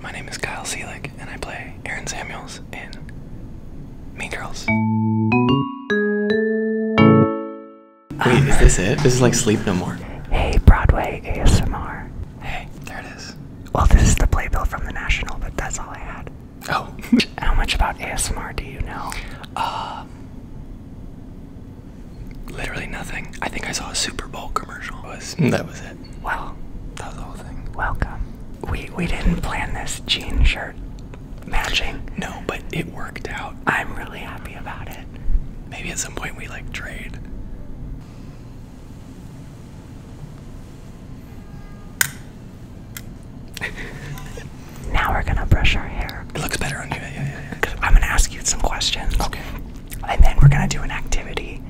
My name is Kyle Selig, and I play Aaron Samuels in Mean Girls. Wait, is this it? This is like Sleep No More. Hey, Broadway ASMR. Hey, there it is. Well, this is the playbill from the National, but that's all I had. Oh. How much about ASMR do you know? Uh, literally nothing. I think I saw a Super Bowl commercial. Was, that was it. Well, Welcome. We we didn't plan this jean shirt matching. No, but it worked out. I'm really happy about it. Maybe at some point we like trade. now we're gonna brush our hair. It looks better on you. Yeah, yeah, yeah. I'm gonna ask you some questions. Okay and then we're gonna do an activity,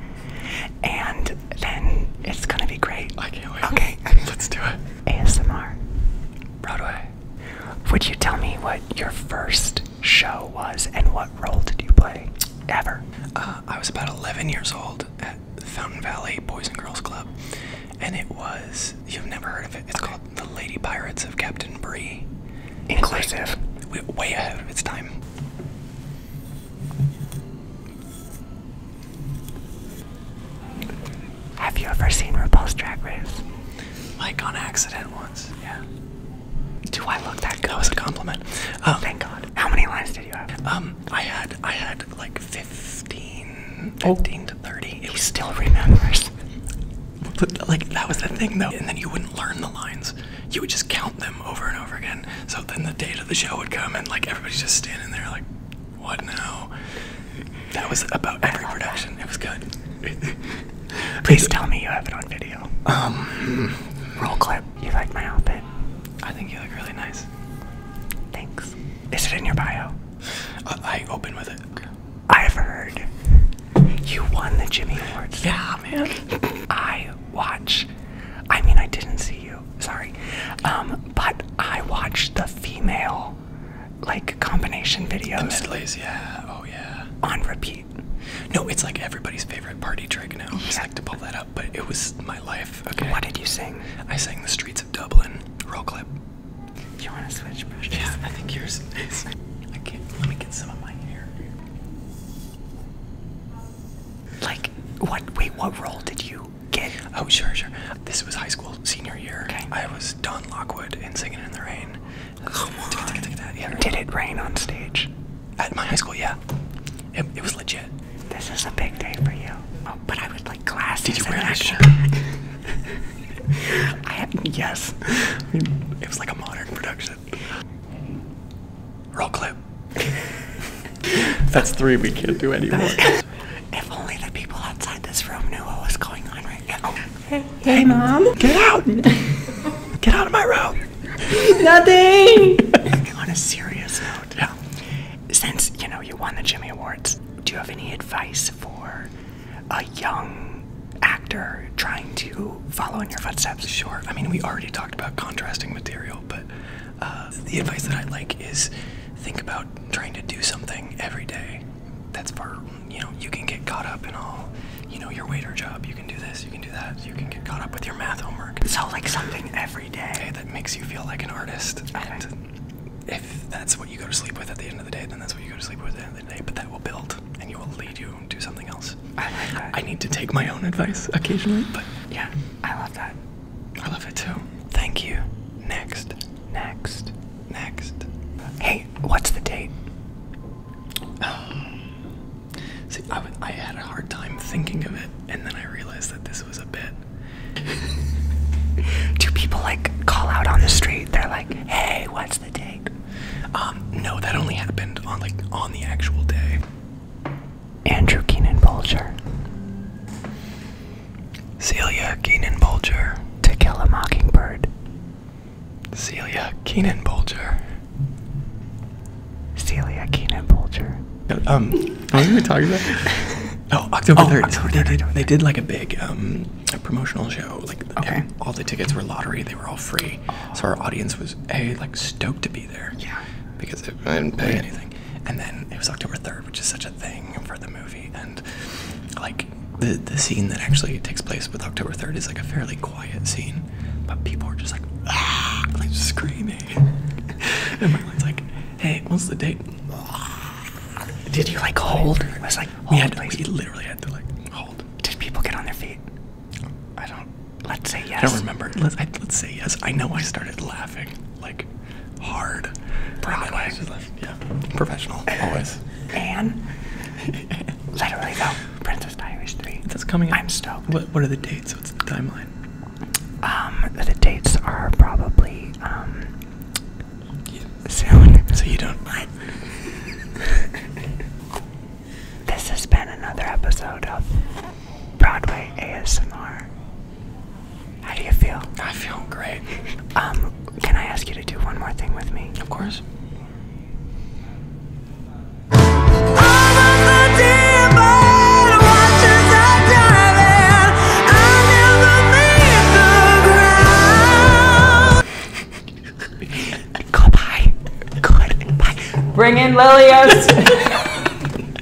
and then it's gonna be great. I can't wait. Okay, let's do it. ASMR. Broadway. Would you tell me what your first show was and what role did you play ever? Uh, I was about 11 years old at Fountain Valley Boys and Girls Club, and it was, you've never heard of it, it's called The Lady Pirates of Captain Bree. Inclusive. Like, way ahead of its time. Have you ever seen repulsed Drag Race? Like on accident once, yeah. Do I look that good? As a compliment. Oh, um, Thank God. How many lines did you have? Um, I had, I had like 15, 15 to 30. It he still remembers. Like that was the thing though, and then you wouldn't learn the lines you would just count them over and over again. So then the date of the show would come, and like everybody's just standing there, like, what now? That was about every production. It was good. Please tell me you have it on video. Um, roll clip. You like my outfit? I think you look really nice. Thanks. Is it in your bio? Uh, I open with it. I've heard you won the Jimmy Awards. Yeah, man. I watch. I mean, I didn't see you. Sorry. Um, but I watched the female like combination videos. The yeah. Oh yeah. On repeat. No, it's like everybody's favorite party trick now. Yeah. I like to pull that up, but it was my life. Okay. What did you sing? I sang the streets of Dublin. Roll clip. you want to switch Yeah, I think yours Let me get some of my hair. Like, what? Wait, what role did you get? Oh, sure, sure. This was high school senior year. Okay. I was Don Lockwood in Singing in the Rain. Come on. Did it rain on stage? At my high school, yeah. It, was legit. This is a big day for you. Oh, but I was like glasses. Did you wear this shirt? I had, yes. It was like a modern production. Roll clip. That's three we can't do anymore. if only the people outside this room knew what was going on right now. Hey, mom. Get out. Get out of my room. Nothing. on a serious note. Yeah. Since, you know, you won the Jimmy Awards, do you have any advice for a young actor trying to follow in your footsteps? Sure. I mean, we already talked about contrasting material, but uh, the advice that I like is think about trying to do something every day. That's for you know, you can get caught up in all, you know, your waiter job. You can do this, you can do that. You can get caught up with your math homework. So like something every day. that makes you feel like an artist. And if that's what you go to sleep with at the end of the day, then that's what you go to sleep with at the end of the day. But that will build and you will lead you to something else. I I need to take my own advice occasionally, but yeah. I love that. I love it too. Thank you. Next. Next. Next. Hey, what's the date? Um, see, I, I had a hard time thinking of it, and then I realized that this was a bit. Do people like call out on the street? They're like, "Hey, what's the date?" Um, no, that only happened on like on the actual day. Andrew Keenan Bolger, Celia Keenan Bolger, To Kill a Mockingbird, Celia Keenan Bolger, Celia Keenan Bolger. Um, what were we talking about? Oh, October oh, they, did, like a big um, promotional show. Like okay. all the tickets were lottery. They were all free. So our audience was a like stoked to be yeah. Because I didn't pay anything. And then it was October 3rd, which is such a thing for the movie. And like the, the scene that actually takes place with October 3rd is like a fairly quiet scene, but people are just like, screaming. and my Marlene's like, hey, what's the date? Did you like hold? I was like, we, had to, we literally had to like hold. Did people get on their feet? I don't. Let's say yes. I don't remember. Let's, let's say yes. I know I started laughing like hard. Broadway. Yeah. Professional. Always. And literally though, Princess Diaries 3. That's coming up. I'm stoked. What what are the dates? What's the timeline? Um the dates are probably um yeah. soon. So you don't mind. this has been another episode of Broadway ASMR. How do you feel? I feel great. Um, can I ask you to do one more thing with me? Of course. Goodbye. Goodbye. Bring in Lilios.